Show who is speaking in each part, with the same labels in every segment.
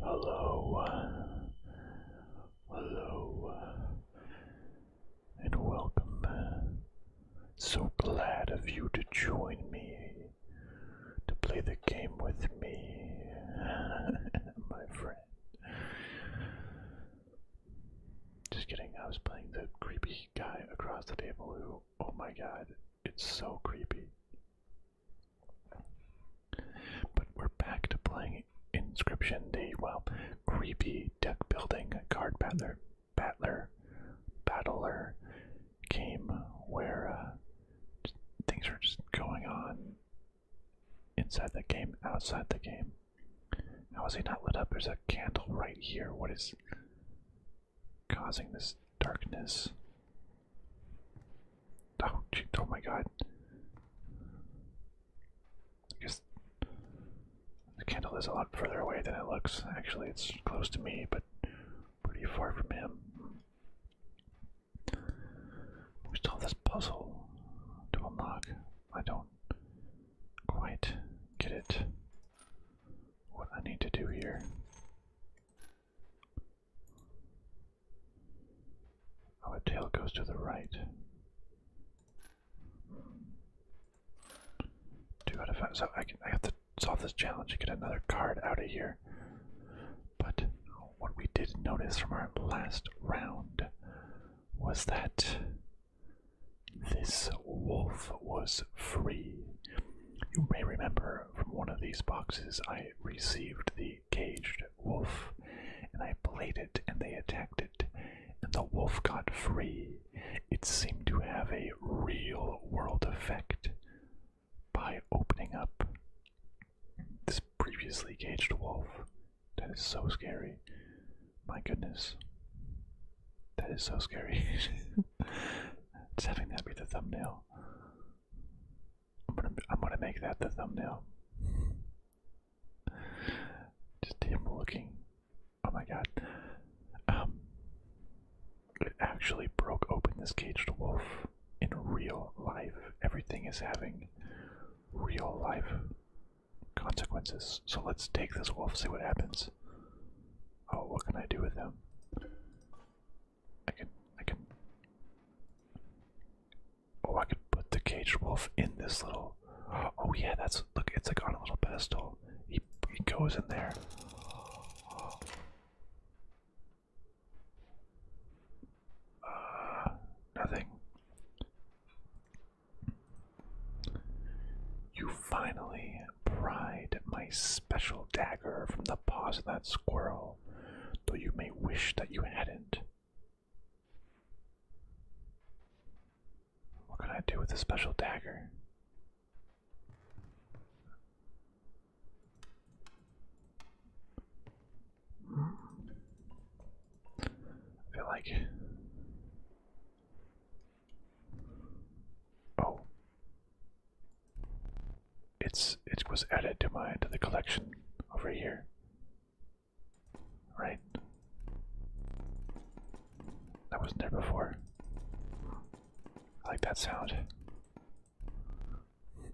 Speaker 1: Hello, hello, and welcome so glad of you to join me, to play the game with me, my friend. Just kidding, I was playing the creepy guy across the table who, oh my god, it's so creepy. But we're back to playing Inscription, the, well, creepy deck building card pattern battler, battler came where uh, things are just going on inside the game, outside the game. How is he not lit up? There's a candle right here. What is causing this darkness? Oh, oh my god. I guess the candle is a lot further away than it looks. Actually, it's close to me, but pretty far from him. We still have this puzzle to unlock. I don't quite get it. What I need to do here. Our oh, tail goes to the right. Two out So I, can, I have to solve this challenge and get another card out of here. But what we did notice from our last round was that this wolf was free. You may remember from one of these boxes I received the caged wolf and I played it and they attacked it and the wolf got free. It seemed to have a real world effect by opening up this previously caged wolf. That is so scary. My goodness. That is so scary. Just having that be the thumbnail. I'm gonna, make that the thumbnail. Just him looking. Oh my god. Um, it actually broke open this caged wolf in real life. Everything is having real life consequences. So let's take this wolf, see what happens. Oh, what can I do with him? I can, I can. Oh, I could put the caged wolf in this little. Oh yeah, that's look. It's like on a little pedestal. He he goes in there. Uh, nothing. You finally pried my special dagger from the paws of that squirrel, though you may wish that you hadn't. What can I do with a special dagger? I feel like. Oh. It's it was added to my to the collection over here. Right. That wasn't there before. I like that sound.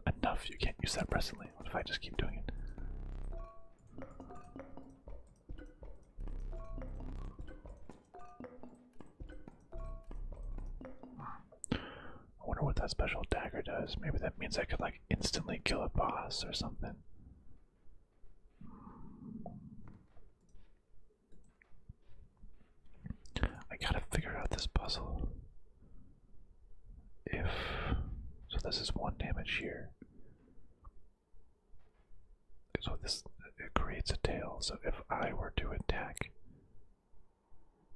Speaker 1: Enough, you can't use that presently. What if I just keep doing it? I wonder what that special dagger does. Maybe that means I could like instantly kill a boss or something. I gotta figure out this puzzle. If. So this is one damage here. So this. creates a tail, so if I were to attack.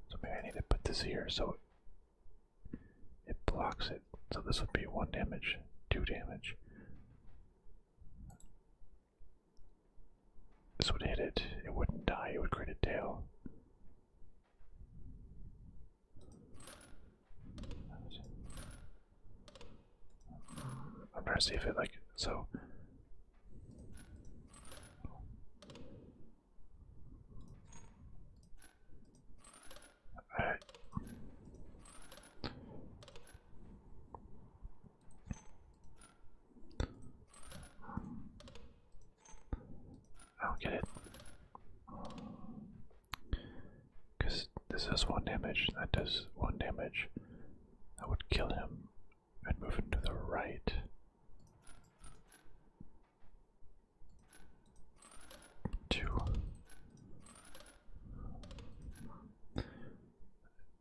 Speaker 1: So maybe I need to put this here so it blocks it. So this would be one damage, two damage. This would hit it. It wouldn't die. It would create a tail. I'm trying to see if it like so. I do get it. Because this does one damage, that does one damage. That would kill him. I'd move him to the right. Two.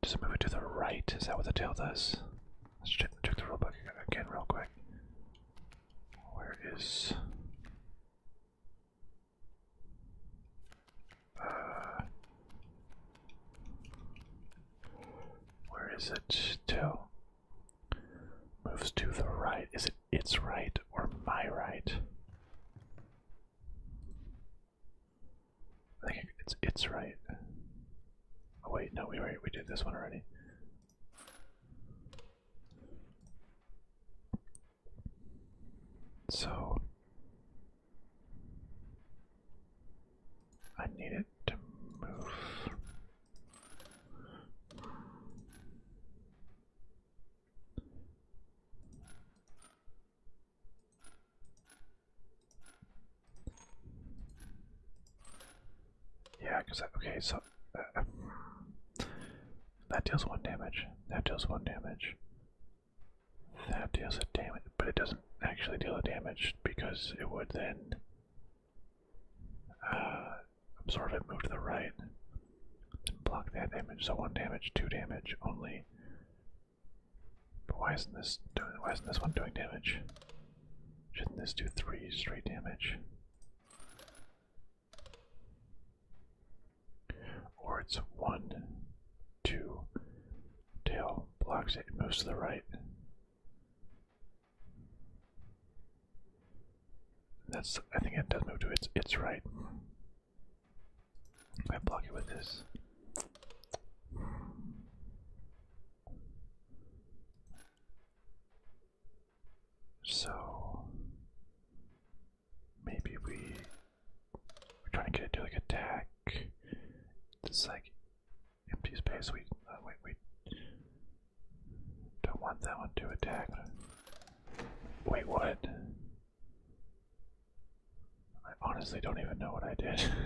Speaker 1: Does it move it to the right? Is that what the tail does? Let's check, check the rulebook again real quick. Where is... Uh, where is it? Tail moves to the right. Is it its right or my right? I think it's it's right. Oh wait, no, we we did this one already. So I need it to move. Yeah, because okay, so uh, that deals one damage. That deals one damage. That deals a damage, but it doesn't actually deal a damage because it would then uh, absorb it, move to the right, block that damage. So one damage, two damage only. But why isn't this doing why isn't this one doing damage? Shouldn't this do three straight damage? Or it's one, two, tail blocks it, moves to the right. That's I think it does move to its its right. I block it with this. So maybe we we're trying to get it to like attack. This like empty space. We uh, wait, we don't want that one to attack. Wait, what? I honestly don't even know what I did.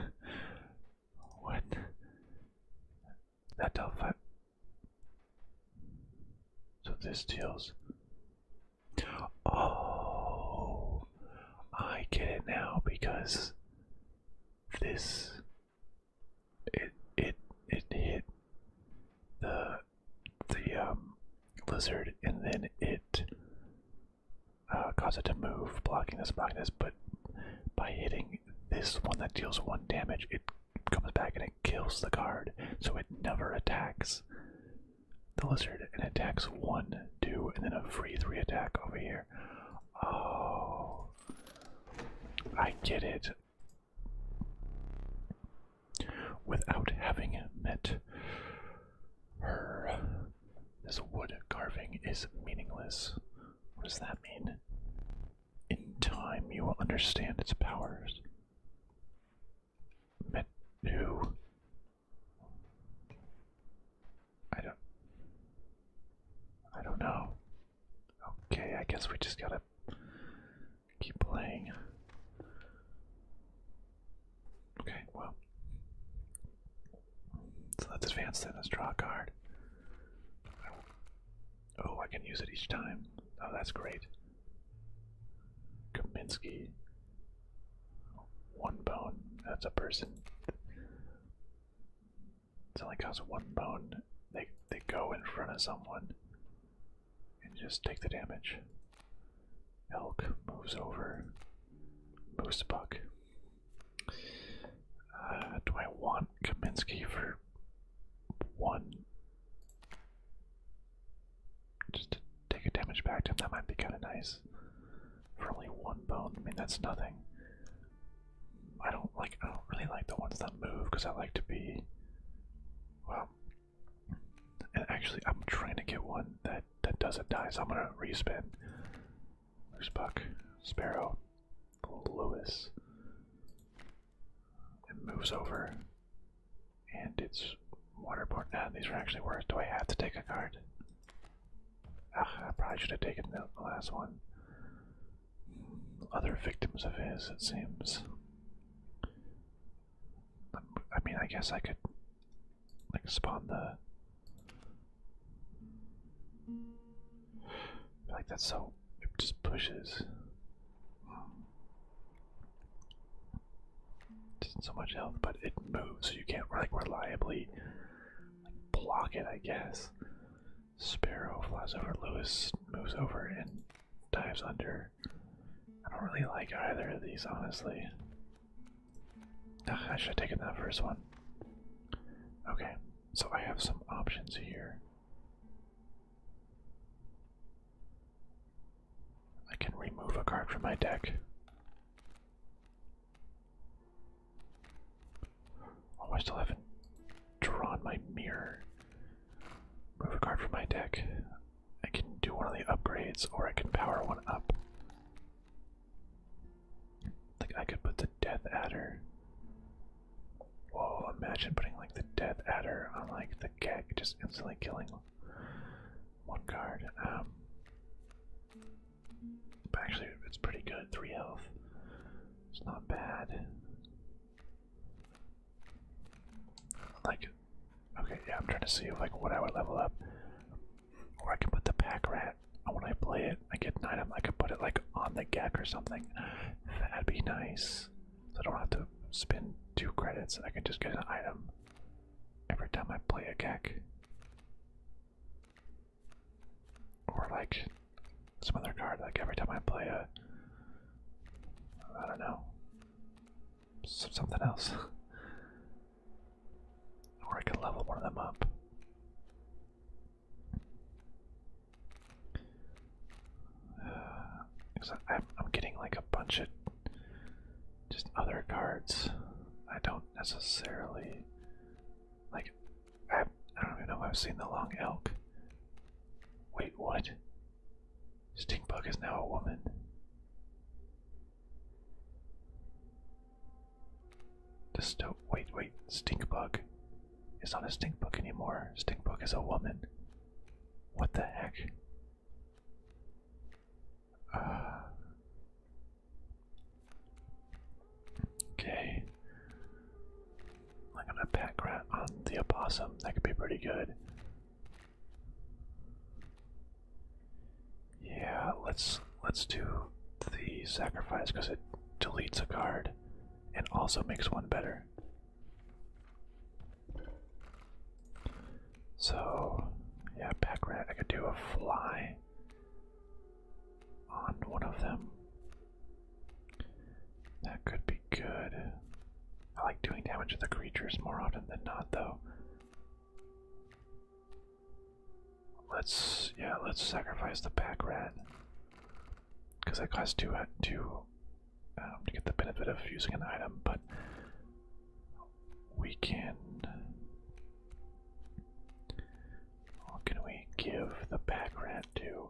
Speaker 1: What? That dealt five. So this deals. Oh, I get it now because this it it it hit the the um lizard and then it uh, cause it to move, blocking this, blocking this, but by hitting this one that deals one damage, it comes back and it kills the guard, so it never attacks the lizard and attacks one, two, and then a free three attack over here. Oh, I get it. Without having met her. This wood carving is meaningless. What does that mean? In time, you will understand its powers. Met I don't. I don't know. Okay, I guess we just gotta keep playing. Okay, well, so let's advance then. Let's draw a card. Oh, I can use it each time. Oh, that's great. Kaminsky. One bone. That's a person. It only costs one bone. They they go in front of someone and just take the damage. Elk moves over. Moose buck. Uh, do I want Kaminsky for one? Just to take a damage back to him, that might be kind of nice. For only one bone, I mean that's nothing. I don't like. I don't really like the ones that move because I like to be. Well, and actually, I'm trying to get one that that doesn't die, so I'm gonna respin there's Buck, Sparrow, Lewis. It moves over, and it's waterborne. Ah, these are actually worth. Do I have to take a card? Ah, I probably should have taken the last one. Other victims of his, it seems. I mean, I guess I could like spawn the like that, so it just pushes. Doesn't so much health, but it moves, so you can't like reliably like, block it. I guess. Sparrow flies over. Louis moves over and dives under. I don't really like either of these, honestly. I should have taken that first one. Okay, so I have some options here. I can remove a card from my deck. Oh, I still my mirror. Remove a card from my deck. I can do one of the upgrades, or I can power one up. Like I could put the Death Adder. Whoa! Imagine putting like the Death Adder on like the keg, just instantly killing one card. Um, but actually, it's pretty good. Three health. It's not bad. Like, okay, yeah, I'm trying to see like what I would level up. Or I can put the pack rat and when I play it, I get an item, I could put it like on the gek or something. That'd be nice. So I don't have to spend two credits I can just get an item every time I play a gek. Or like some other card, like every time I play a I don't know. Something else. Or I could level one of them up. Because I'm, I'm getting like a bunch of just other cards. I don't necessarily like. I, I don't even know if I've seen the long elk. Wait, what? Stinkbug is now a woman. Just wait, wait, stink bug. It's not a stink bug anymore. Stink bug is a woman. What the heck? Uh, okay. I'm going pack rat on the opossum. That could be pretty good. Yeah, let's let's do the sacrifice because it deletes a card and also makes one better. So yeah, back rat. I could do a fly on one of them. That could be good. I like doing damage to the creatures more often than not, though. Let's yeah, let's sacrifice the pack rat because that costs two uh, two um, to get the benefit of using an item, but we can. What can we give the pack rat to?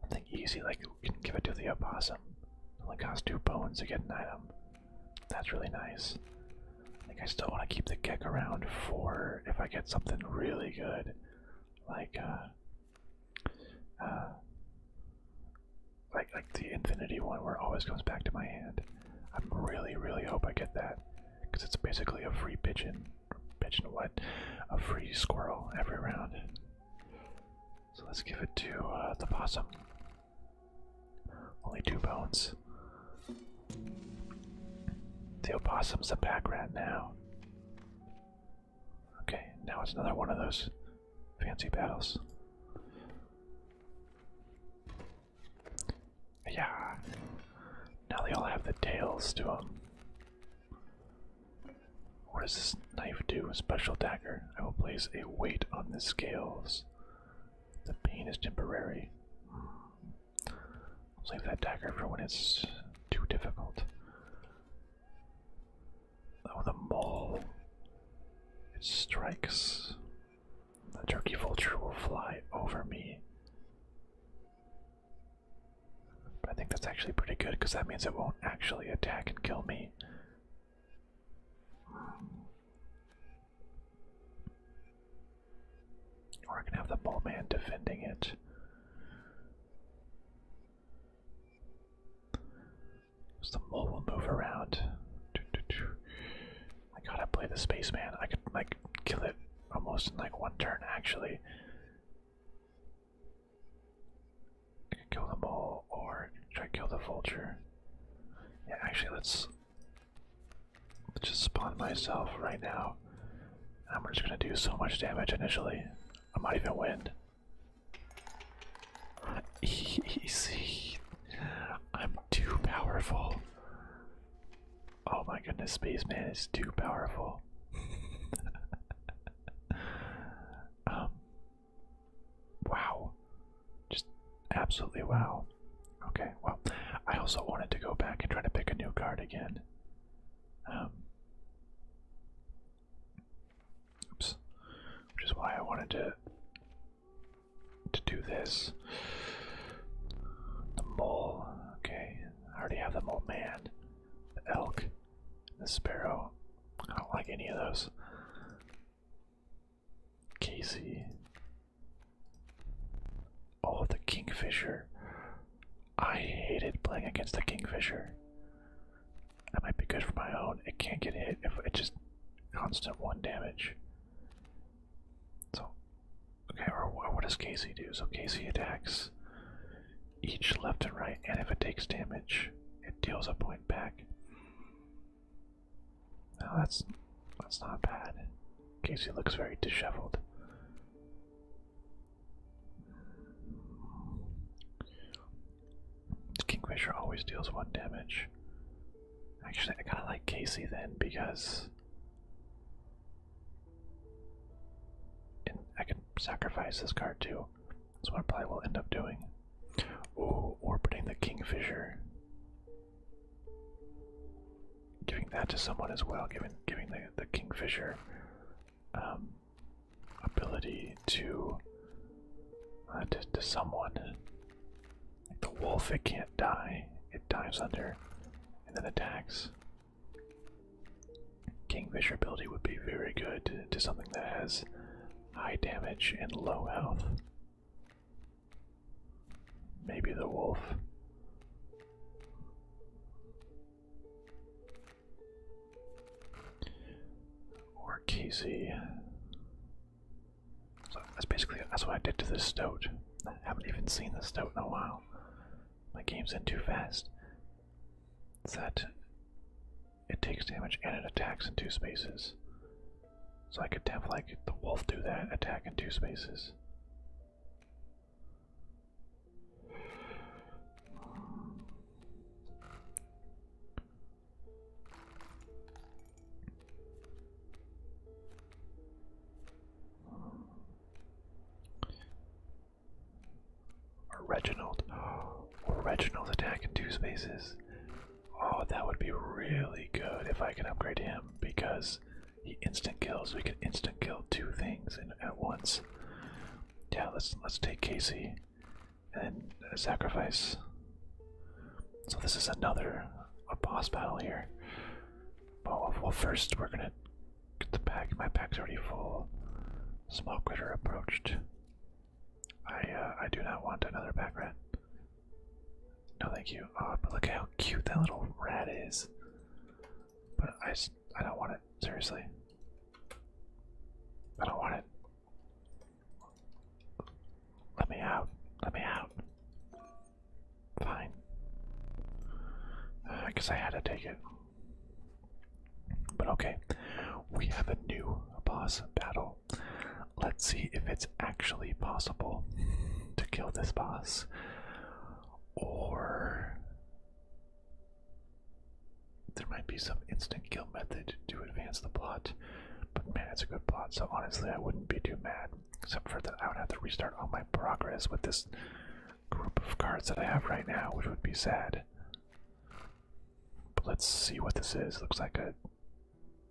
Speaker 1: Something easy, like we can give it to the opossum. only costs two bones to get an item. That's really nice. I think I still want to keep the geck around for if I get something really good, like uh, uh, like like the infinity one where it always comes back to my hand. I really really hope I get that because it's basically a free pigeon, pigeon what? A free squirrel every round. So let's give it to uh, the possum. Only two bones. The opossum's a back rat now. Okay, now it's another one of those fancy battles. Yeah, now they all have the tails to them. What does this knife do? A special dagger. I will place a weight on the scales. The pain is temporary. Save that dagger for when it's too difficult. Oh, the mole. It strikes. The turkey vulture will fly over me. I think that's actually pretty good because that means it won't actually attack and kill me. We're gonna have the ball man defending it. So the mole will move around. I gotta play the spaceman. I could like kill it almost in like one turn actually. kill the mole or try kill the vulture. Yeah, actually let's just spawn myself right now. I'm just gonna do so much damage initially. I might even win. Easy. I'm too powerful. Oh my goodness, Spaceman is too powerful. um, wow. Just absolutely wow. Okay, well, I also wanted to go back and try to pick a new card again. Um, oops, which is why I wanted to to do this. The mole. Okay, I already have the mole man, the elk, the sparrow. I don't like any of those. Casey, Oh, the Kingfisher. I hated playing against the Kingfisher. That might be good for my own. It can't get hit if it just constant one damage. So, okay, or, or what does Casey do? So Casey attacks each left and right, and if it takes damage, it deals a point back. Now that's that's not bad. Casey looks very disheveled. Kingfisher always deals one damage. Actually, I kind of like Casey then because I can sacrifice this card too. That's what I probably will end up doing. Ooh, orbiting the Kingfisher. Giving that to someone as well, giving giving the the kingfisher um, ability uh, to, to someone. Like the wolf, it can't die. It dives under and then attacks. Kingfisher ability would be very good to something that has high damage and low health. Maybe the wolf. Or Casey. So that's basically that's what I did to the stoat. I haven't even seen the stoat in a while. My game's in too fast. It's that it takes damage and it attacks in two spaces. So I could have like the wolf do that, attack in two spaces. Reginald. Or Reginald attack in two spaces. Oh, that would be really good if I can upgrade him because he instant kills. We can instant kill two things at once. Yeah, let's let's take Casey and uh, sacrifice. So this is another a boss battle here. Well, well, first we're gonna get the pack. My pack's already full. Small critter approached. I uh, I do not want another pack rat. No, thank you. Oh, but look how cute that little rat is. But I, I don't want it. Seriously. I don't want it. Let me out. Let me out. Fine. I guess I had to take it. But okay, we have a new boss battle. Let's see if it's actually possible to kill this boss or there might be some instant kill method to advance the plot. But man, it's a good plot, so honestly, I wouldn't be too mad. Except for that, I would have to restart all my progress with this group of cards that I have right now, which would be sad. But let's see what this is. Looks like a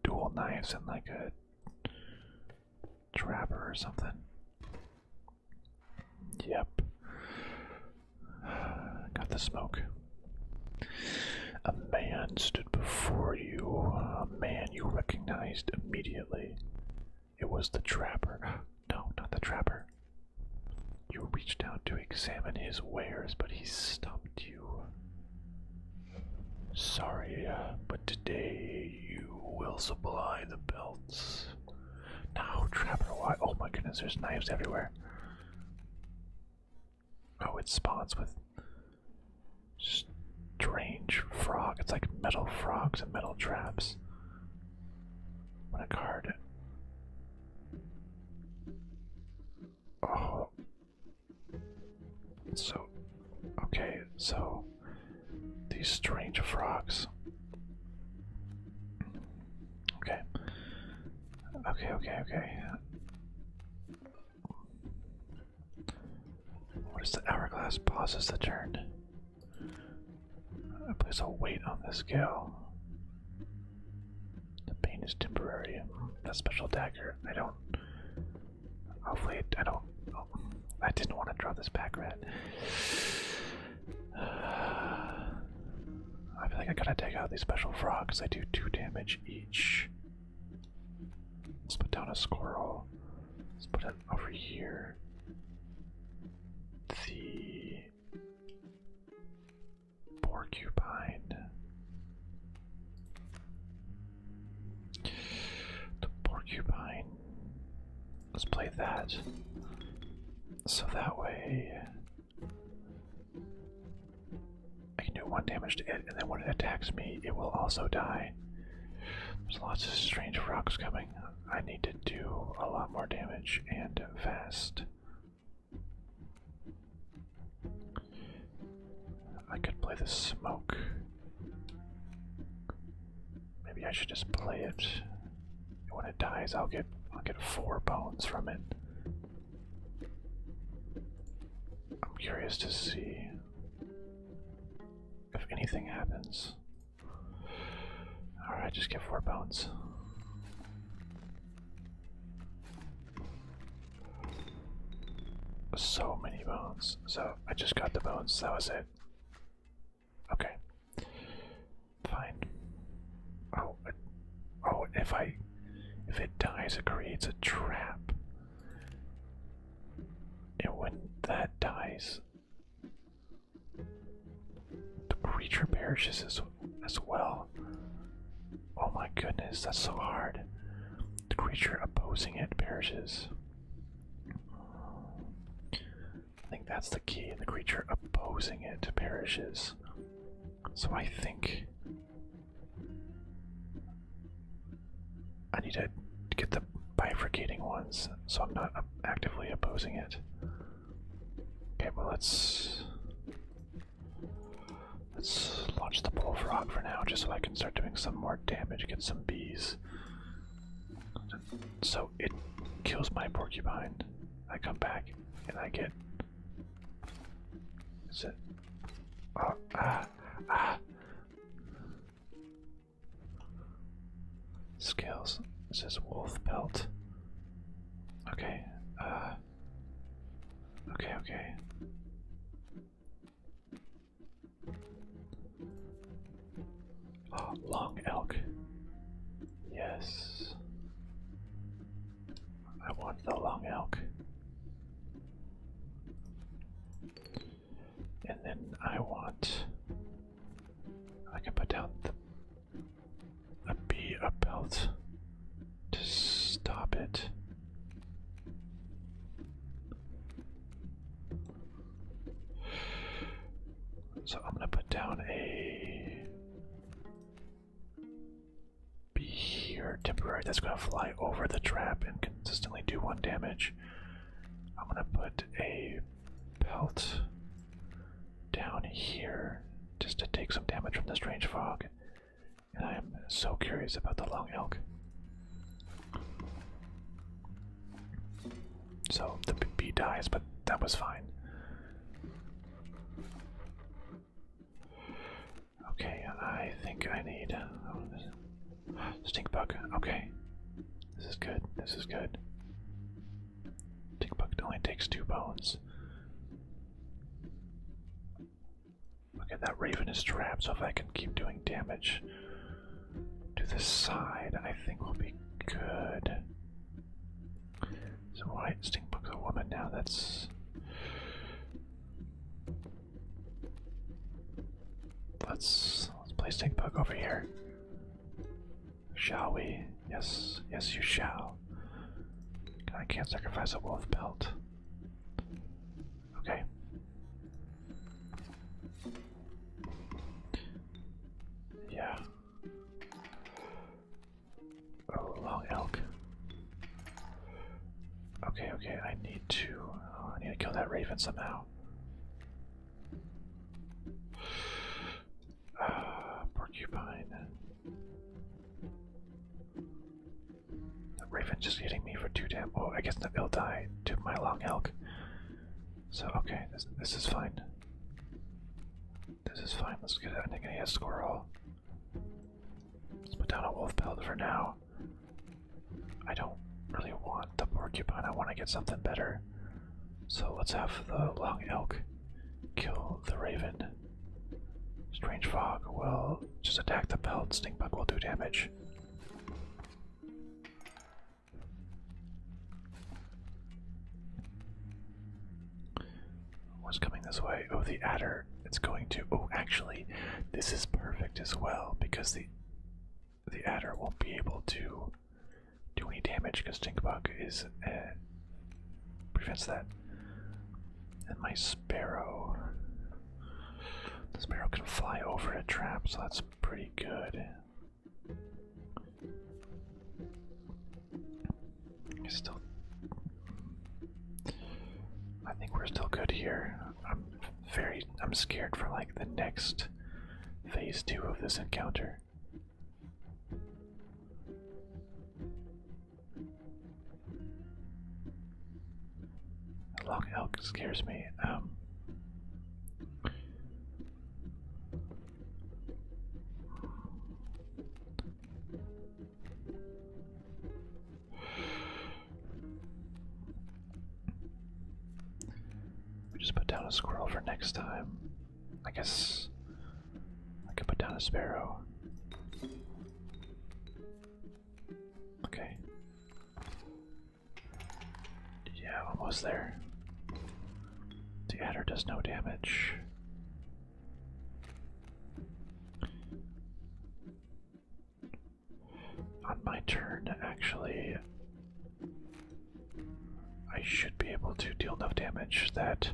Speaker 1: dual knives and like a Trapper or something. Yep. Got the smoke. A man stood before you, a man you recognized immediately. It was the trapper. No, not the trapper. You reached out to examine his wares, but he stopped you. Sorry, uh, but today you will supply the belts. Now, Trapper, why? Oh my goodness, there's knives everywhere. Oh, it spawns with strange frog. It's like metal frogs and metal traps. What a card. Oh. So, okay, so these strange frogs. Okay. Okay, okay, okay. What is the hourglass pauses the turn? I place a weight on this scale. The pain is temporary. That special dagger. I don't. Hopefully, I Oh, I didn't want to draw this pack rat. I feel like I gotta take out these special frogs. They do two damage each. Let's put down a squirrel. Let's put it over here. The porcupine. The porcupine Let's play that. So that way I can do one damage to it, and then when it attacks me, it will also die. There's lots of strange rocks coming. I need to do a lot more damage and fast. I could play the smoke. Maybe I should just play it. When it dies, I'll get I'll get four bones from it. I'm curious to see if anything happens. Alright, just get four bones. So many bones. So I just got the bones, that was it. Okay. Fine. Oh, oh! If I, if it dies, it creates a trap. And when that dies, the creature perishes as well. Oh my goodness, that's so hard. The creature opposing it perishes. I think that's the key. The creature opposing it perishes. So I think I need to get the bifurcating ones so I'm not actively opposing it. Okay, well let's let's launch the bullfrog for now, just so I can start doing some more damage, get some bees. So it kills my porcupine. I come back and I get. Is it? Oh, ah, ah. Scales. It says wolf pelt. Okay. Uh. Okay. Okay. Oh, long elk. Yes. I want the long elk. And then I want. I can put down the, a bee, a belt to stop it. So I'm gonna put down a be here temporary that's gonna fly over the trap and consistently do one damage. I'm gonna put a belt down here just to take some damage from the strange fog. And I am so curious about the long elk. So the bee dies, but that was fine. Okay, I think I need oh, stink bug. Okay, this is good. This is good. Stink bug only takes two bones. Look at that raven is trapped, so if I can keep doing damage, to the side, I think will be good. So why instinct book the woman now? That's let's let's play stink book over here. Shall we? Yes, yes you shall. I can't sacrifice a wolf belt. Okay. Yeah. Oh, long elk. Okay, okay, I need to. Oh, I need to kill that raven somehow. Uh, porcupine. The raven just hitting me for two damn. Oh, I guess they'll die to my long elk. So okay, this this is fine. This is fine. Let's get a Nickney a Let's put down a wolf pelt for now. I don't really want the porcupine. I want to get something better. So let's have the long elk kill the raven. Strange fog will just attack the pelt. Stink bug will do damage. What's coming this way? Oh, the adder. It's going to. Oh, actually, this is perfect as well because the the adder won't be able to do any damage because Stinkbug is uh, prevents that. And my sparrow. The sparrow can fly over a trap, so that's pretty good. Still, I think we're still good here. I'm very, I'm scared for like the next phase two of this encounter. Long elk scares me. Um, we just put down a squirrel for next time. I guess I could put down a sparrow. Okay. Yeah, almost there. The adder does no damage. On my turn, actually, I should be able to deal enough damage that.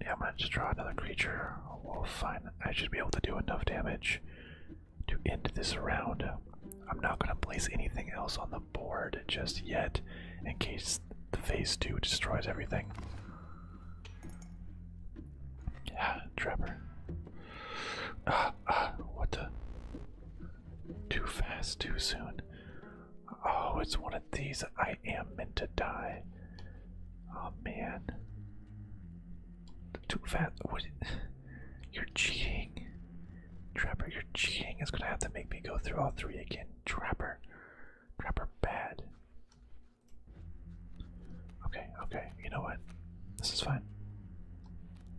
Speaker 1: Yeah, I'm gonna just draw another creature. We'll find. I should be able to do enough damage to end this round. I'm not going to place anything else on the board just yet in case the phase 2 destroys everything. Yeah, Trevor. Ah, ah, what the? Too fast, too soon. Oh, it's one of these. I am meant to die. Oh man. Too fat? What? You're cheating, Trapper. You're cheating. It's gonna have to make me go through all three again, Trapper. Trapper, bad. Okay, okay. You know what? This is fine.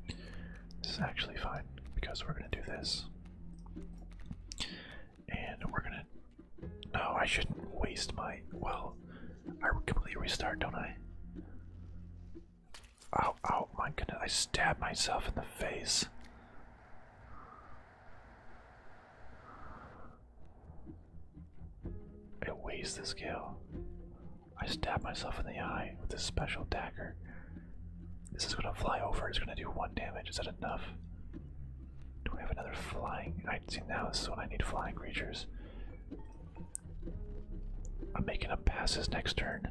Speaker 1: This is actually fine because we're gonna do this, and we're gonna. No, I shouldn't waste my. Well, I completely restart, don't I? Oh! Oh! my goodness, I stabbed myself in the face. I waste this kill. I stabbed myself in the eye with this special dagger. This is gonna fly over, it's gonna do one damage. Is that enough? Do we have another flying? I see now this is when I need flying creatures. I'm making pass passes next turn.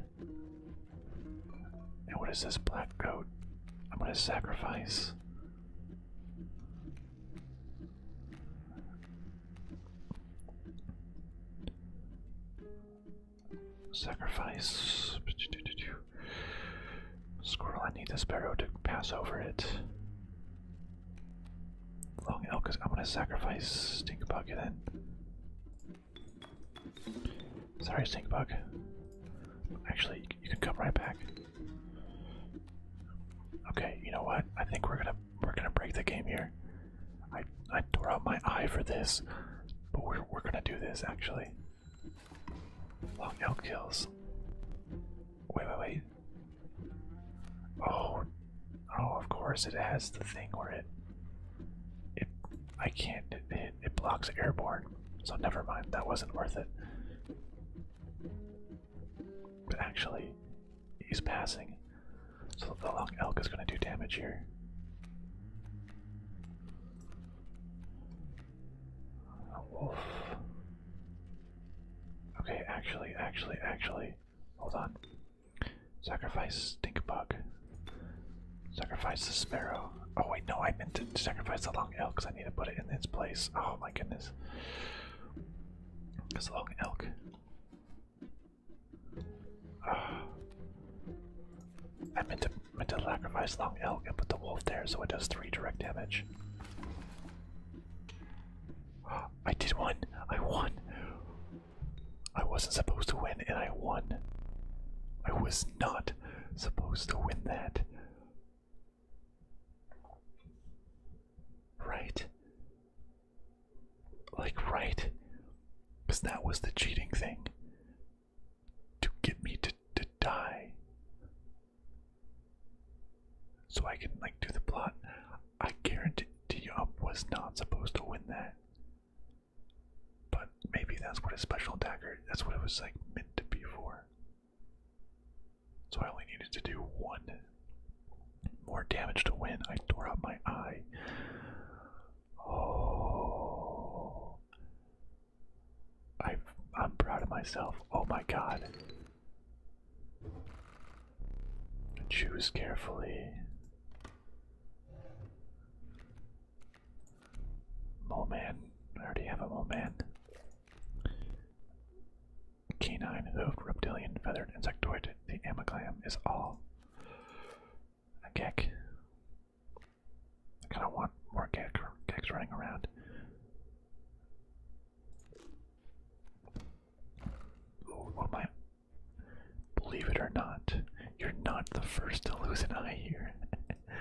Speaker 1: And what is this black goat? I'm gonna sacrifice. Sacrifice. Squirrel, I need the sparrow to pass over it. Long Elk is. I'm gonna sacrifice Stink Bug then. Sorry, Stink Bug. Actually, you can come right back. Okay, you know what? I think we're gonna we're gonna break the game here. I I tore out my eye for this, but we're we're gonna do this actually. Long elk kills. Wait, wait, wait. Oh Oh, of course it has the thing where it it I can't it, it, blocks airborne. So never mind, that wasn't worth it. But actually, he's passing. So the long elk is gonna do damage here. Wolf. Okay, actually, actually, actually. Hold on. Sacrifice stink bug. Sacrifice the Sparrow. Oh wait, no, I meant to sacrifice the Long Elk because I need to put it in its place. Oh my goodness. Because Long Elk. Ah. I meant to, meant to sacrifice Long Elk and put the Wolf there so it does 3 direct damage. I did one! I won! I wasn't supposed to win and I won. I was not supposed to win that. Right? Like, right? Because that was the cheating thing. To get me to, to die. So I can, like, do the plot. I guarantee you I was not supposed to win that. But maybe that's what a special dagger, that's what it was like meant to be for. So I only needed to do one more damage to win. I tore out my eye. Oh. i I'm proud of myself. Oh my god. Choose carefully. Mole man. I already have a mole man. Canine, hoofed, reptilian, feathered, insectoid. The amyglam is all a gek. I kind of want more gek, running around. Ooh, what Believe it or not, you're not the first to lose an eye here.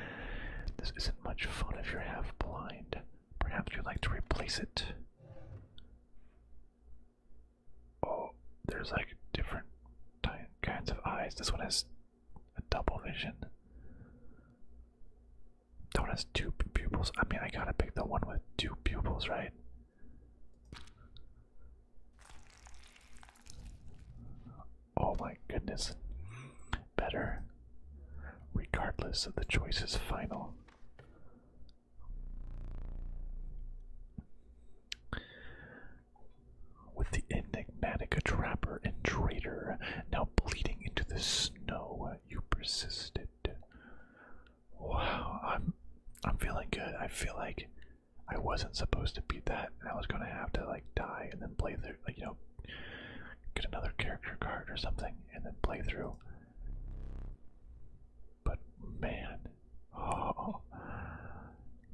Speaker 1: this isn't much fun if you're half blind. Perhaps you'd like to replace it. Oh, there's like different kinds of eyes. This one has a double vision. That one has two pupils. I mean, I gotta pick the one with two pupils, right? Oh my goodness. Better, regardless of the choices final. With the enigmatic trapper and traitor now bleeding into the snow, you persisted. Wow, I'm I'm feeling good. I feel like I wasn't supposed to beat that, I was going to have to like die and then play through, you know, get another character card or something, and then play through. But man, oh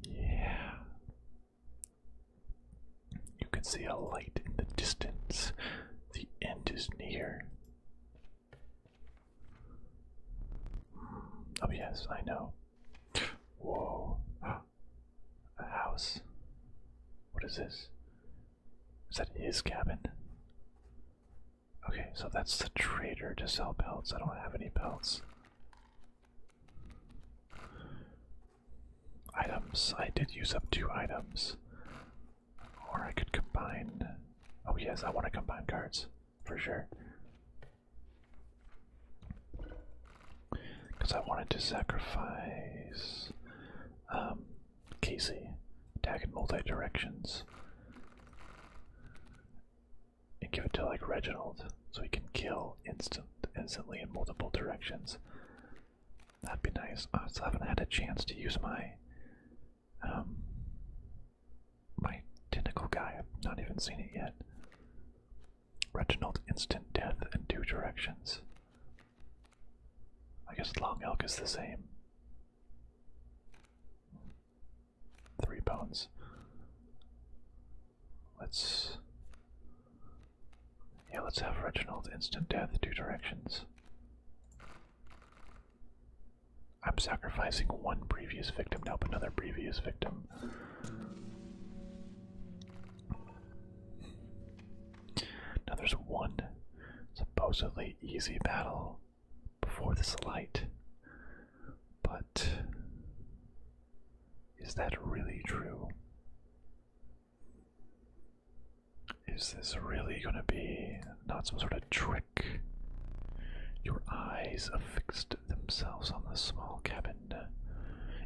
Speaker 1: yeah, you can see a light in the distance. The end is near. Oh, yes, I know. Whoa. A house. What is this? Is that his cabin? Okay, so that's the trader to sell pelts. I don't have any pelts. Items. I did use up two items. Or I could combine. Oh, yes, I want to combine cards for sure. Because I wanted to sacrifice um, Casey, attack in multi directions, and give it to like Reginald so he can kill instant instantly in multiple directions. That'd be nice. I still haven't had a chance to use my um, my tentacle guy, not even seen it yet. Reginald, instant death in two directions. I guess Long Elk is the same. Three bones. Let's. Yeah, let's have Reginald instant death two directions. I'm sacrificing one previous victim to help another previous victim. Now there's one supposedly easy battle before this light, but is that really true? Is this really gonna be not some sort of trick? Your eyes affixed themselves on the small cabin,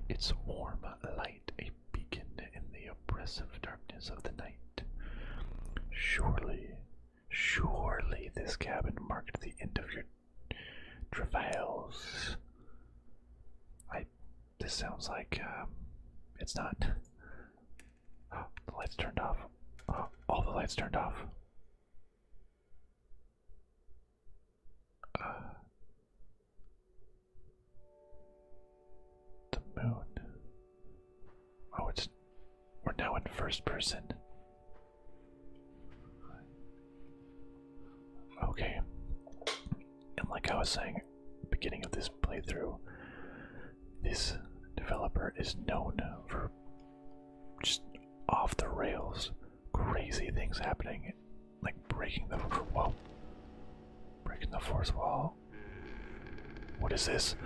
Speaker 1: its warm light a beacon in the oppressive darkness of the night. Surely, surely this cabin marked the end of your travails. I. This sounds like. Um, it's not. the lights turned off. all the lights turned off the moon. Oh, it's. We're now in first person. Okay. And like I was saying beginning of this playthrough, this developer is known for just off the rails, crazy things happening, like breaking the whoa, breaking the fourth wall. What is this?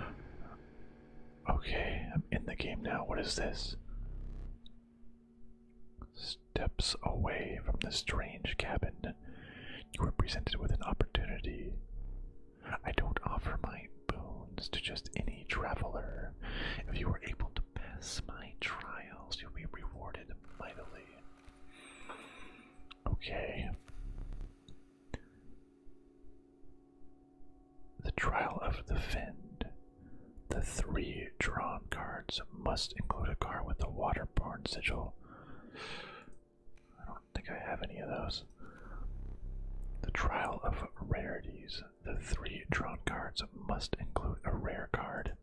Speaker 1: Okay, I'm in the game now. What is this? Steps away from the strange cabin. You were presented with an opportunity. I don't offer my my to just any traveler. If you are able to pass my trials, you'll be rewarded mightily. Okay. The trial of the Fend. The three drawn cards must include a card with the waterborne sigil. I don't think I have any of those. The Trial of Rarities the three drawn cards must include a rare card.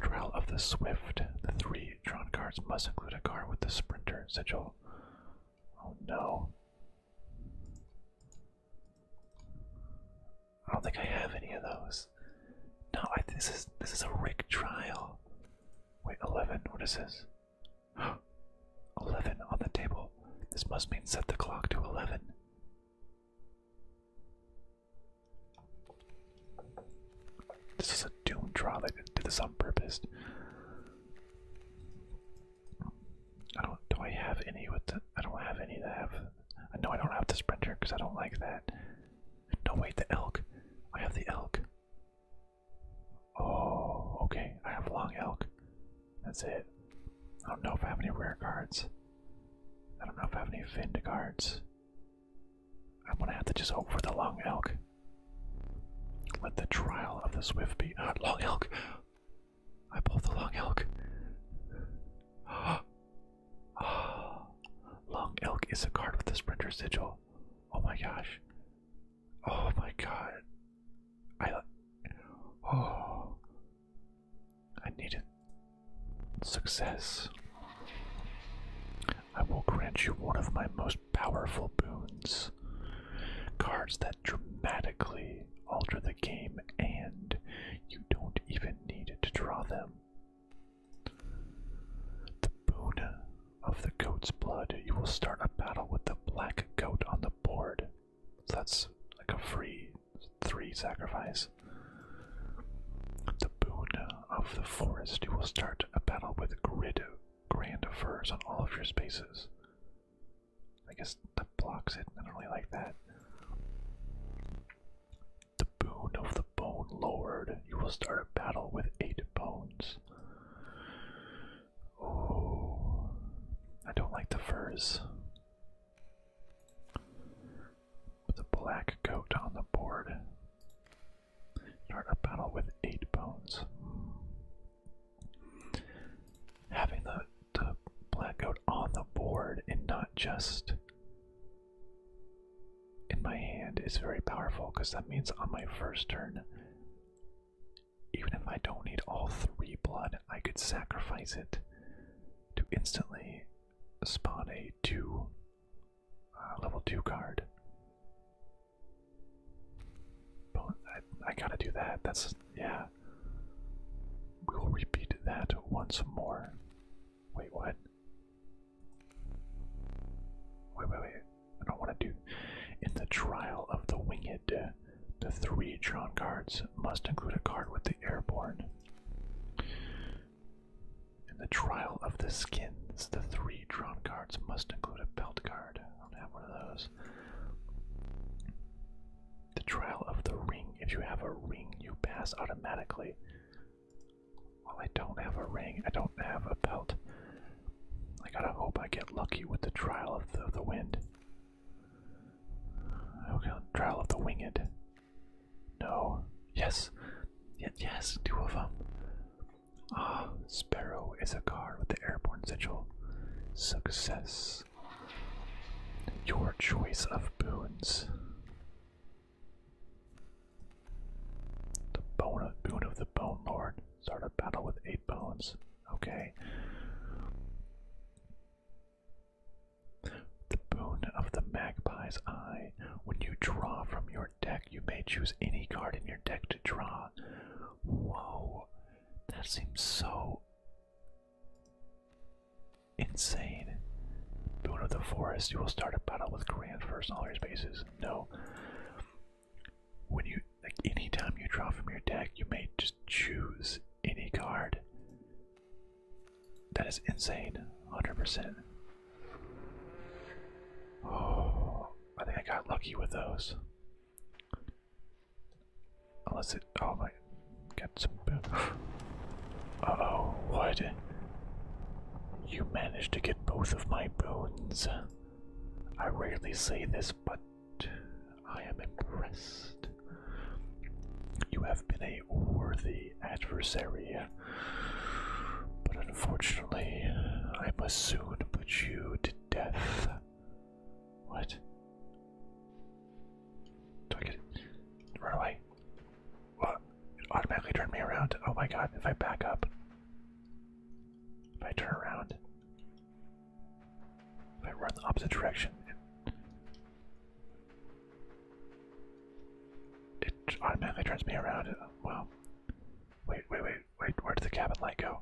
Speaker 1: Trial of the Swift. The three drawn cards must include a card with the Sprinter sigil. Oh no. I don't think I have any of those. No, this is this is a Rick trial. Wait, eleven. What is this? Eleven on the table. This must mean set the clock to eleven. This is a doom draw. They did this on purpose. I don't. Do I have any with the? I don't have any that have. I know I don't have the sprinter because I don't like that. No wait, the elk. I have the elk. Oh, okay. I have long elk. That's it. I don't know if I have any rare cards. I don't know if I have any Vind cards. I'm gonna have to just hope for the long elk. Let the trial of the swift be. Uh, long elk! I pulled the long elk. long elk is a card with the sprinter sigil. Oh my gosh. Oh my god. I Oh. I needed success. I will grant you one of my most powerful boons. Cards that dramatically alter the game, and you don't even need to draw them. The boon of the goat's blood. You will start a battle with the black goat on the board that's like a free three sacrifice. The boon of the forest. You will start a battle with grid grand furs on all of your spaces. I guess that blocks it. I don't really like that. The boon of the bone lord. You will start a battle with eight bones. Oh, I don't like the furs. With black coat on the board. Start a battle with eight bones. Having the, the black goat on the board and not just in my hand is very powerful because that means on my first turn even if I don't need all three blood, I could sacrifice it to instantly spawn a two uh, level two card. But I, I gotta do that. That's yeah. We will repeat that once more. Wait, what? Wait, wait, wait. I don't want to do. In the trial of the winged the three drawn cards must include a card with the airborne. In the trial of the skins, the three drawn cards must include a belt card. I don't have one of those. The trial of the ring. If you have a ring, you pass automatically. Well, I don't have a ring. I don't have a belt. I gotta hope I get lucky with the trial of the, of the wind. Okay, trial of the winged. No. Yes. Yes, two of them. Ah, Sparrow is a card with the airborne sigil. Success. Your choice of boons. The bone of boon of the bone lord. Start a battle with eight bones. Okay. The boon of the magpie's eye. When you draw from your deck, you may choose any card in your deck to draw. Whoa. That seems so insane. Boon of the forest. You will start a battle with grand first on your spaces. No. When you like anytime you draw from your deck, you may just choose any card. That is insane, 100%. Oh, I think I got lucky with those. Unless it. Oh my. Got some. oh, what? You managed to get both of my boons. I rarely say this, but I am impressed. You have been a worthy adversary, but unfortunately, I must soon put you to death. What? Do I get Run away. What? It automatically turned me around. Oh my god, if I back up. If I turn around. I run the opposite direction. It, it automatically turns me around. Uh, well, wait, wait, wait, wait. Where did the cabin light go?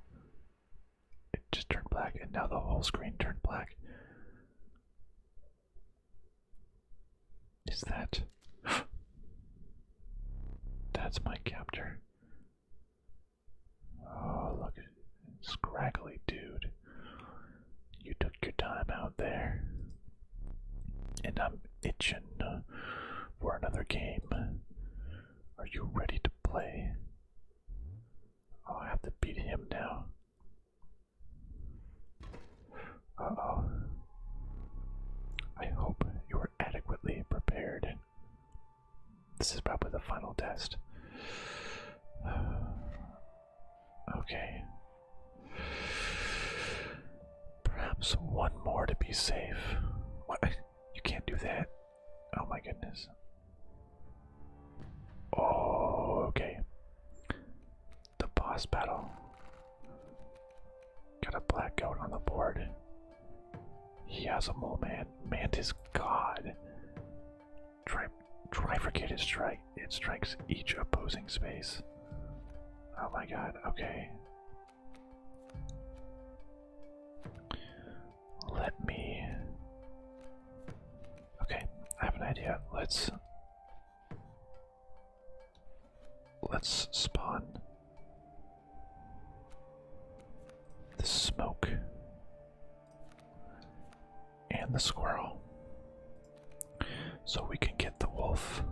Speaker 1: It just turned black, and now the whole screen turned black. Is that. That's my captor. Oh, look at scraggly dude. You took your time out there. And I'm itching uh, for another game. Are you ready to play? Oh, I have to beat him now. Uh oh. I hope you are adequately prepared. This is probably the final test. okay. Perhaps one more to be safe. What? You can't do that. Oh my goodness. Oh, okay. The boss battle. Got a blackout on the board. He has a mole man. Mantis God. Try, Tri trifurcated strike. It strikes each opposing space. Oh my god, okay. Let me. Okay, I have an idea. Let's. Let's spawn the smoke and the squirrel. So we can get the wolf.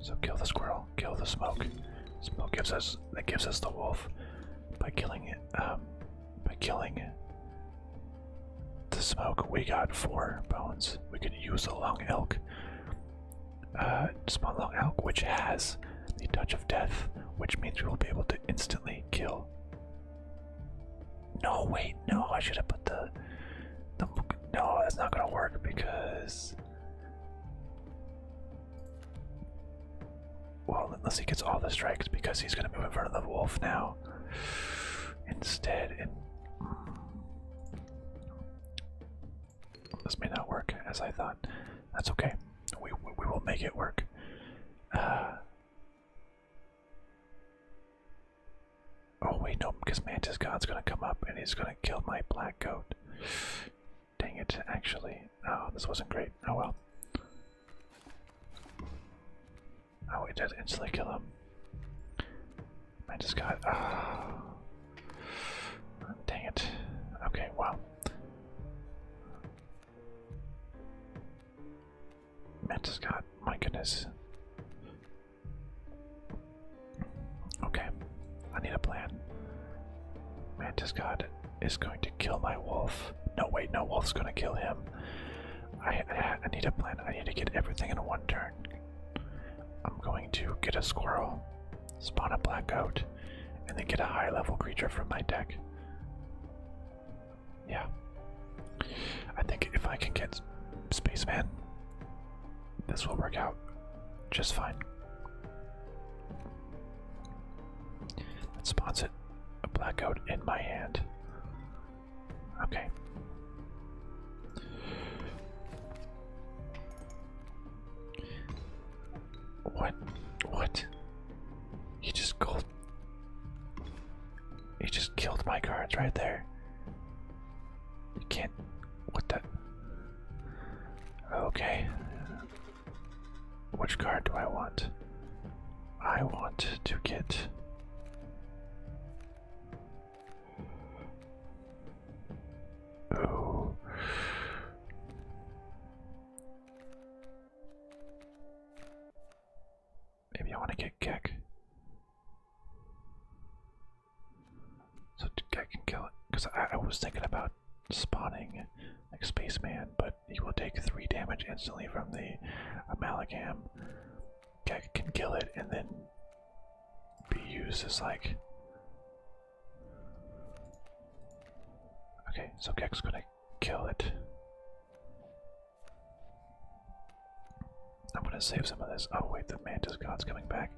Speaker 1: So kill the squirrel, kill the smoke. Smoke gives us that gives us the wolf by killing it. Um, by killing the smoke, we got four bones. We can use a long elk. Uh, small long elk, which has the touch of death, which means we will be able to instantly kill. No, wait, no, I should have put the, No, that's not gonna work because. Well, unless he gets all the strikes, because he's gonna move in front of the wolf now. Instead, and. This may not work as I thought. That's okay we, we, will make it work. Uh, oh wait, no, because Mantis God's gonna come up and he's gonna kill my black goat. Dang it, actually. Oh, this wasn't great. Oh well. Oh, it did instantly kill him. I just got. Oh. Ah. Dang it. Okay, well. Matt Scott, my goodness. Okay, I need a plan. Mantis God is going to kill my wolf. No, wait, no wolf's gonna kill him. I need a plan. I need to get everything in one turn. I'm going to get a squirrel spawn a black goat, and then get a high level creature from my deck. Yeah. I think if I can get Spaceman, this will work out just fine. That spawns it a black goat in my hand. Okay. What? What? He just killed. He just killed my cards right there. You can't. What the? Okay. Which card do I want? I want to get. Oh. Maybe I want to get Gek. So Gek can kill it. Because I, was thinking about spawning like Spaceman, but he will take 3 damage instantly from the Amalgam. Gek can kill it and then be used as like Okay, so Gek's gonna kill it. I'm gonna save some of this. Oh wait, the Mantis God's coming back.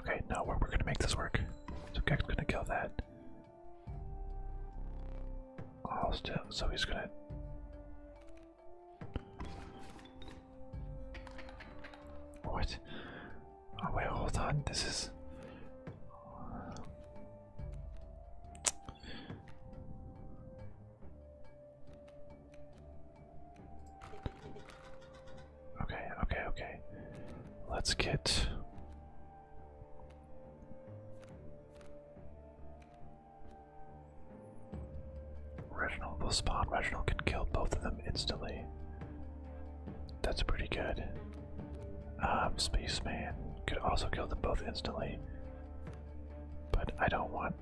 Speaker 1: Okay, now we're, we're gonna make this work. So Gek's gonna kill that. Oh, still, so he's gonna... What? Oh wait, hold on. This is Okay, okay, okay. Let's get Reginald will spawn. Reginald can kill both of them instantly. That's pretty good. Um, Space man could also kill them both instantly. But I don't want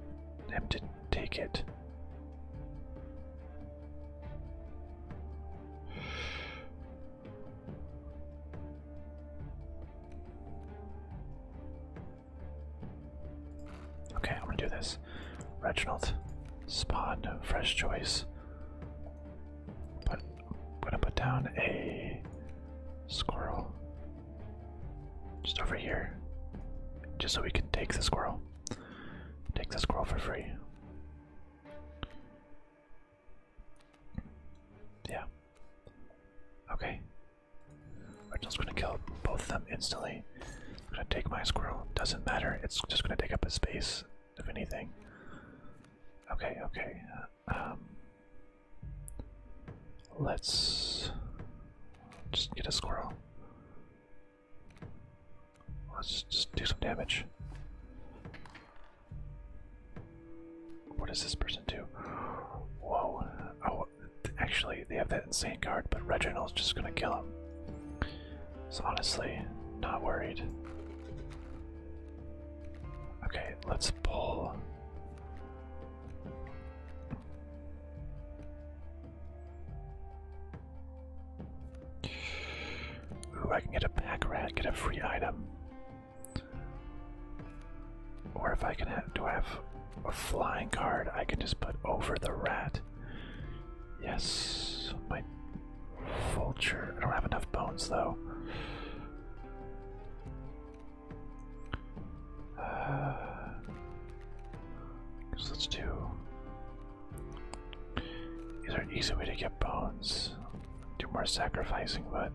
Speaker 1: them to take it. Okay, I'm gonna do this. Reginald, spawn, fresh choice. But I'm gonna put down a squirrel just over here, just so we can take the squirrel. Take the squirrel for free. Yeah. Okay. Reginald's gonna kill both of them instantly. I'm gonna take my squirrel. Doesn't matter. It's just gonna take up a space of anything. Okay, okay. Uh, um, let's just get a squirrel. Let's just do some damage. What does this person do? Whoa. Oh, actually, they have that insane card, but Reginald's just gonna kill him. So honestly, not worried. Okay, let's pull. Ooh, I can get a pack rat, get a free item. Or if I can do I have a flying card I can just put over the rat? Yes, my Vulture. I don't have enough bones though. Uh, let's do. Is there easy way to get bones? Do more sacrificing, but.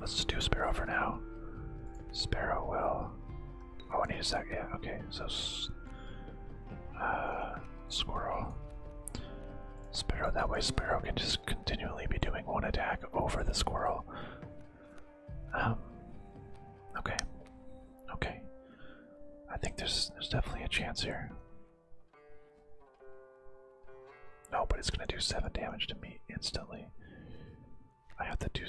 Speaker 1: Let's just do Sparrow for now. Sparrow will Oh, I need a sec. Yeah, okay. So, uh, Squirrel. Sparrow. That way, Sparrow can just continually be doing one attack over the Squirrel. Um. Okay. Okay. I think there's there's definitely a chance here. No, but it's gonna do seven damage to me instantly. I have to do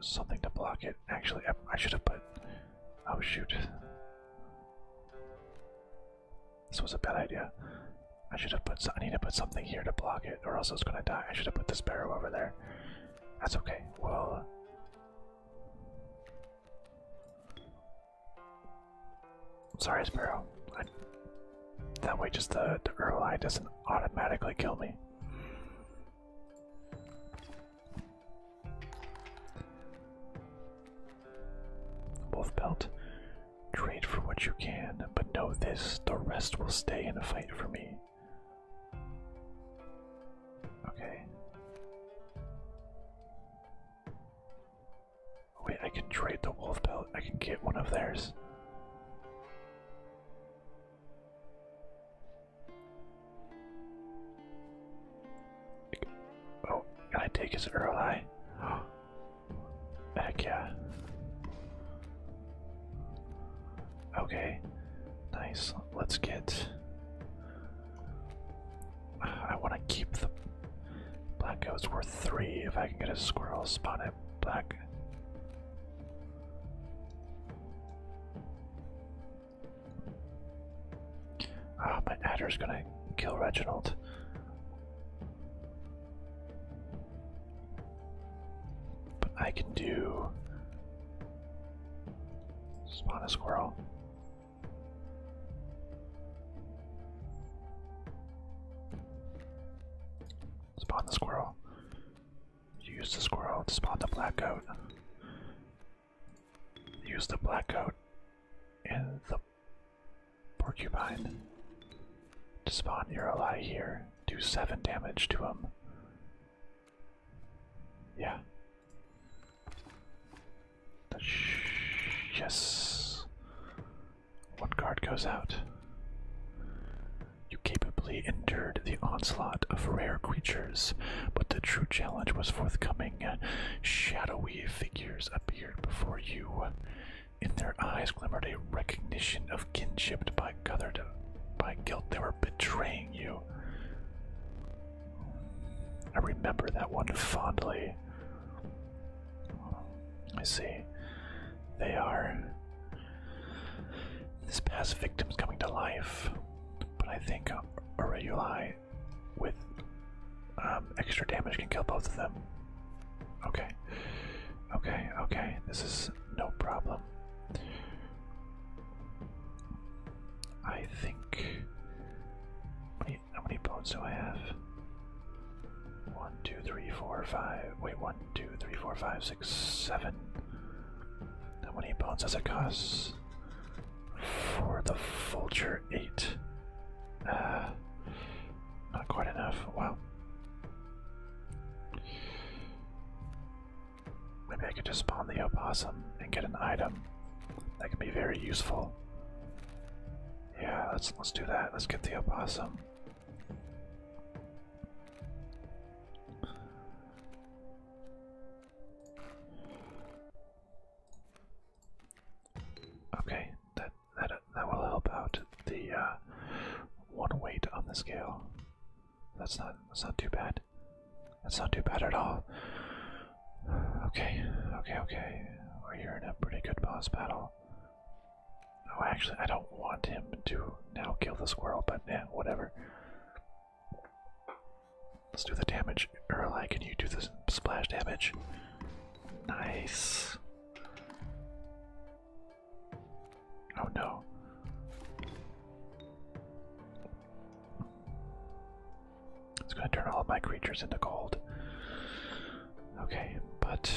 Speaker 1: something to block it. Actually, I, should have put. Oh shoot! This was a bad idea. I should have put. I need to put something here to block it, or else it's gonna die. I should have put this barrow over there. That's okay. Well. Uh, sorry, Sparrow. that way, just the, the Earl Eye doesn't automatically kill me. Wolf belt. Trade for what you can, but know this: the rest will stay in a fight for me. Okay. Wait, I can trade the wolf belt. I can get one of theirs. Oh, can I take his Earl Eye? Heck yeah. Okay, nice. Let's get. I want to keep the black goat's worth three if I can get a squirrel spotted black. Ah, my adder's gonna kill Reginald. But I can do spawn a squirrel. Spawn the squirrel. Use the squirrel to spawn the black goat. Use the black goat and the porcupine to spawn your ally here. Do seven damage to him. Yeah. Yes. One guard goes out. You capably endured the onslaught of rare creatures, but the true challenge was forthcoming. Shadowy figures appeared before you. In their eyes glimmered a recognition of kinship by guthered by guilt they were betraying you. I remember that one fondly. I see. They are this past victim's coming to life, but I think Aureli with um, extra damage can kill both of them. Okay, okay, okay. This is no problem. I think. How many, how many bones do I have? One, two, three, four, five. Wait, one, two, three, four, five, six, seven. How many bones does it cost? For the vulture, eight. Uh, not quite enough. Wow. Maybe I could just spawn the opossum and get an item that could be very useful. Yeah, let's let's do that. Let's get the opossum. Okay, that that that will help out the uh, one weight on the scale. That's not that's not too bad. That's not too bad at all. Okay, okay, okay. We're here in a pretty good boss battle. Oh, actually, I don't want him to now kill the squirrel, but yeah, whatever. Let's do the damage. Erlai, can you do the splash damage? Nice. Oh no. It's gonna turn all of my creatures into gold. Okay, but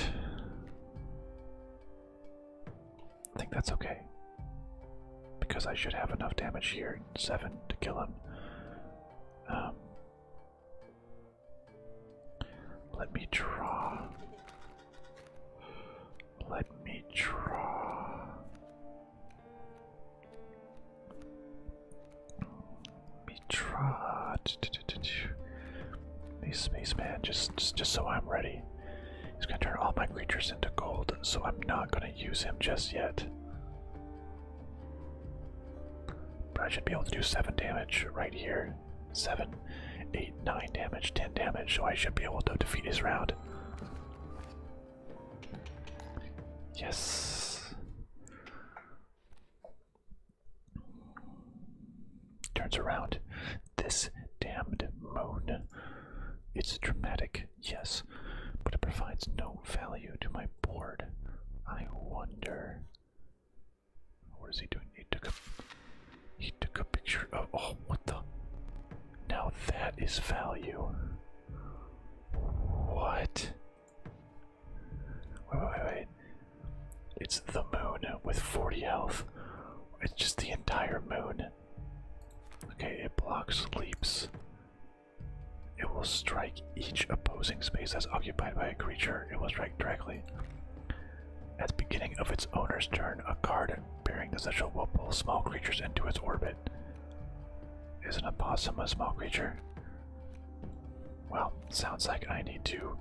Speaker 1: I think that's okay. Because I should have enough damage here, seven, to kill him. Um, let me draw. Let me draw. Let me draw. These spaceman, just, just, just so I'm ready. He's going to turn all my creatures into gold, so I'm not going to use him just yet. But I should be able to do 7 damage right here. seven, eight, nine damage, 10 damage, so I should be able to defeat his round. Yes. Turns around. This damned moon. It's dramatic yes, but it provides no value to my board. I wonder. What is he doing? He took a. He took a picture of. Oh, what the? Now that is value. What? Wait, wait, wait. It's the moon with 40 health. It's just the entire moon. Okay, it blocks leaps. It will strike each opposing space that's occupied by a creature. It will strike directly. At the beginning of its owner's turn, a card bearing the sigil will pull small creatures into its orbit. Is an opossum a small creature? Well, sounds like I need to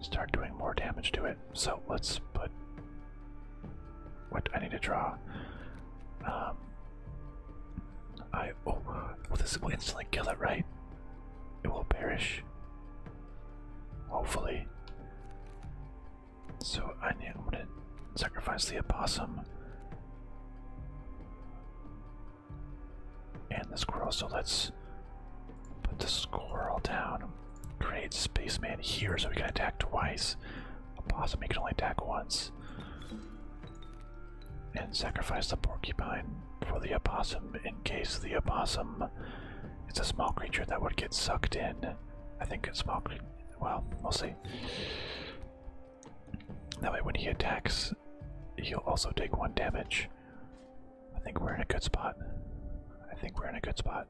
Speaker 1: start doing more damage to it. So let's put what I need to draw. Um, I oh, this will instantly kill it, right? It will perish. Hopefully. So I need, to sacrifice the opossum and the squirrel. So let's put the squirrel down. Create spaceman here, so we can attack twice. A possum he can only attack once. And sacrifice the porcupine for the opossum in case the opossum its a small creature that would get sucked in. I think it's small Well, we'll see. That way, when he attacks, he'll also take one damage. I think we're in a good spot. I think we're in a good spot.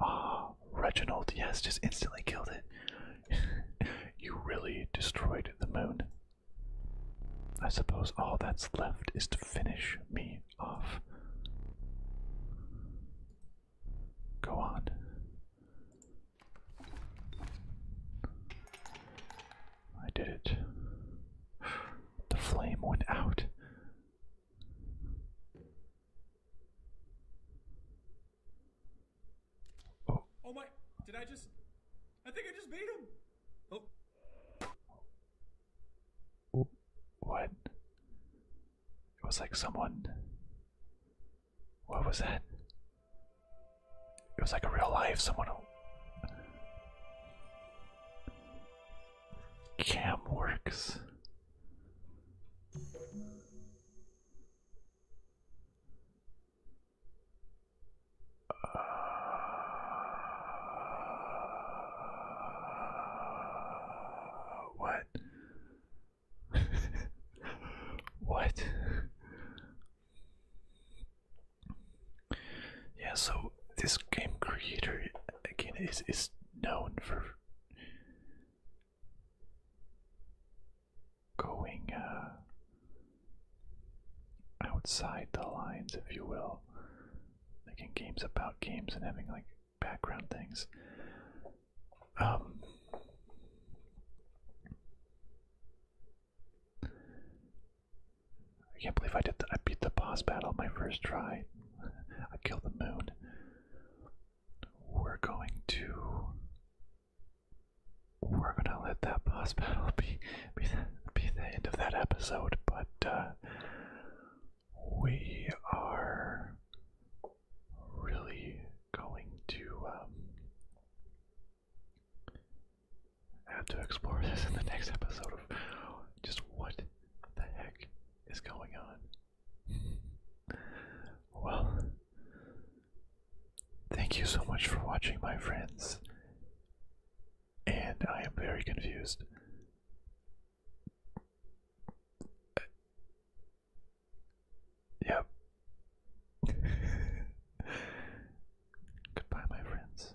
Speaker 1: Ah, Reginald, yes, just instantly killed it. you really destroyed the moon. I suppose all that's left is to finish me off. Go on. I did it. The flame went out. Oh. my, did I just, I think I just beat him. Oh. What? It was like someone, what was that? It was like a real life someone. Cam works. Uh, what? what? Yeah, so this game creator again is is known for going uh, outside the lines, if you will. making games about games and having like background things. Um, I can't believe I did. Th I beat the boss battle my first try. I killed the moon. We're going to. We're gonna let that boss battle be be the, be the end of that episode, but uh, we are really going to um, have to explore this in the next episode of just what the heck is going on. well, thank you so much for watching, my friends. And I am very confused. Yep. Goodbye, my friends.